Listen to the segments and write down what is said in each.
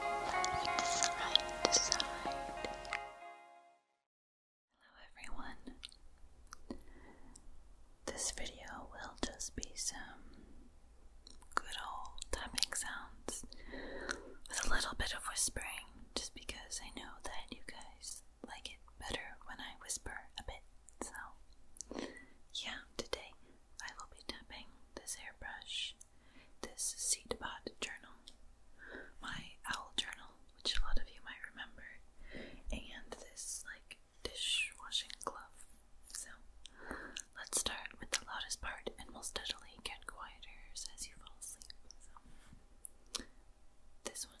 Hello everyone. This video will just be some good old tapping sounds with a little bit of whispering just because I know that you guys like it better when I whisper a bit. So, yeah, today I will be tapping this airbrush this seed pod journal, my owl journal, which a lot of you might remember, and this like dishwashing glove. So let's start with the loudest part, and we'll steadily get quieter as you fall asleep. So this one.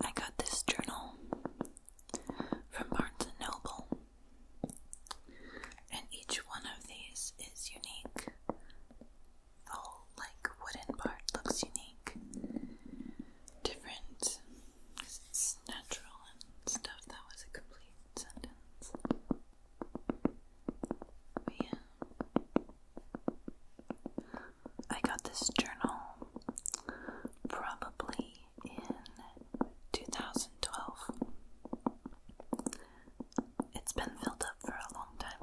I got this journal from Barnes and Noble, and each one of these is unique. The whole like wooden part looks unique different natural and stuff. That was a complete sentence. yeah. I got this journal probably in 2012. It's been filled up for a long time.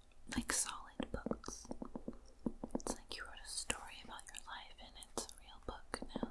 like solid books. It's like you wrote a story about your life and it's a real book now.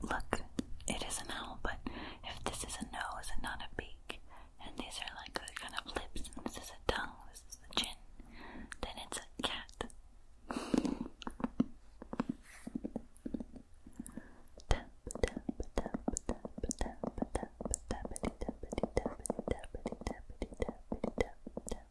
Look, it is an owl, but if this is a nose and not a beak, and these are like the kind of lips, and this is a tongue, this is the chin, then it's a cat.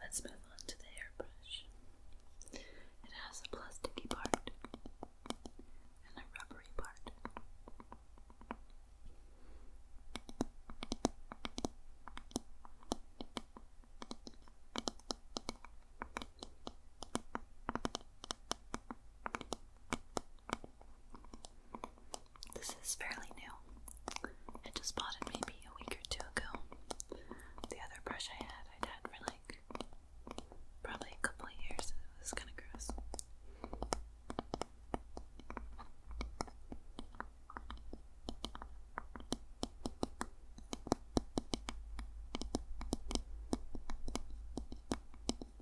Let's move on to the hairbrush. It has a plasticky part and a rubbery part. This is fairly new. I just bought it maybe a week or two ago. The other brush I had, i had for like probably a couple of years. It was kind of gross.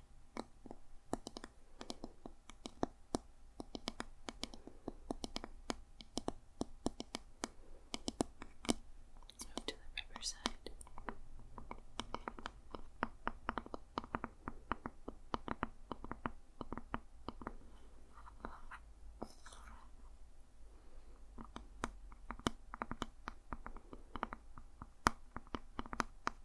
Move to the river side. All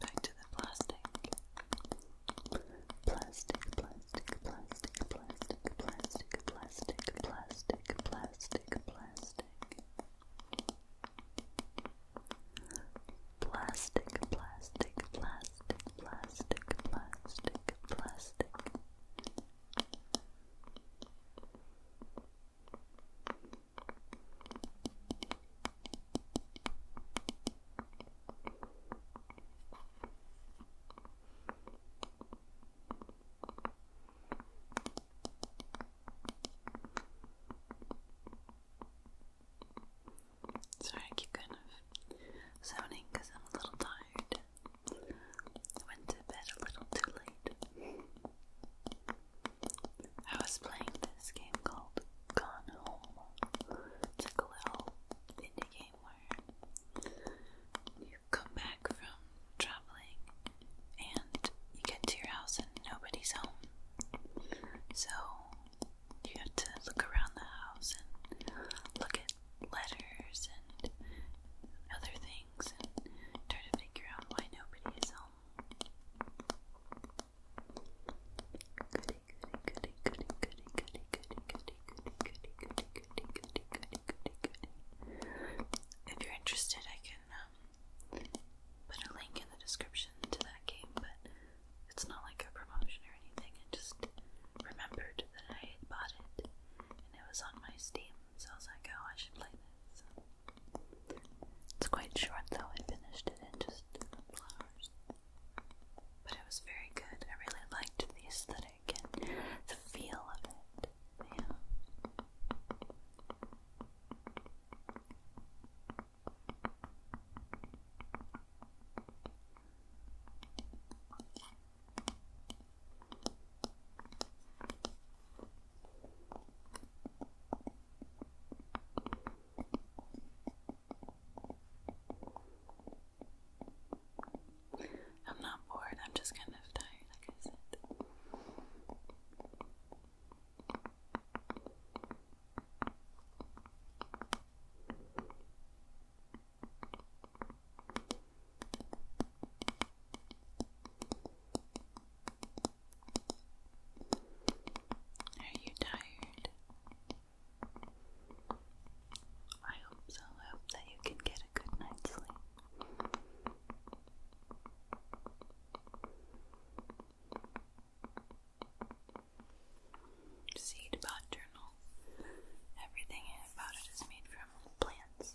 Back to the plastic. Plastic, plastic, plastic, plastic, plastic, plastic, plastic, plastic, plastic. Plastic, plastic, plastic, plastic, plastic, plastic. Sorry, I keep kind of zoning because I'm a little tired. I went to bed a little too late. I was playing this game called Gone Home. a indie game where you come back from traveling and you get to your house and nobody's home. So you have to look around the house and look at letters and other things and try to figure out why nobody is home. If you're interested, I can put a link in the description to that game, but it's not like a promotion or anything. I just remembered that I had bought it and it was on my Steam, so I was like, oh, I should play this. it's quite short though, I finished it in just a couple hours. But it was very good. I really liked the aesthetic and the feel of it. I'm not bored, I'm just kind of tired, like I said. Are you tired? I hope so. I hope that you can get a good night's sleep. Seed Bot Journal. Everything about it is made from plants.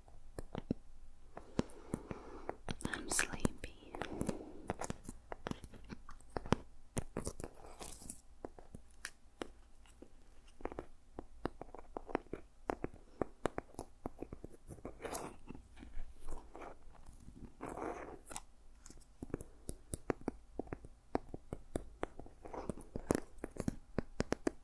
I'm sleepy.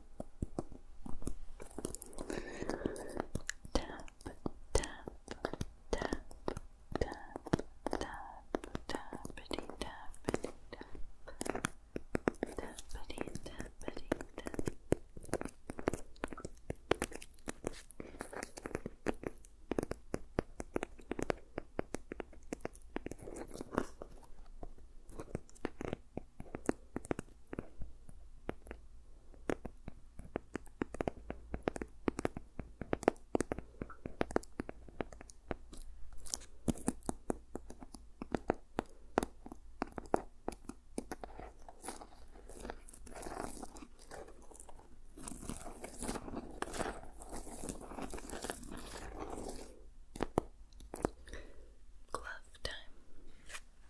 Tap, tap, tap, tap, tap, tappity, tappity, tap. Tappity, tappity, tap. Tap, Glove time.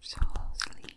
So sleepy.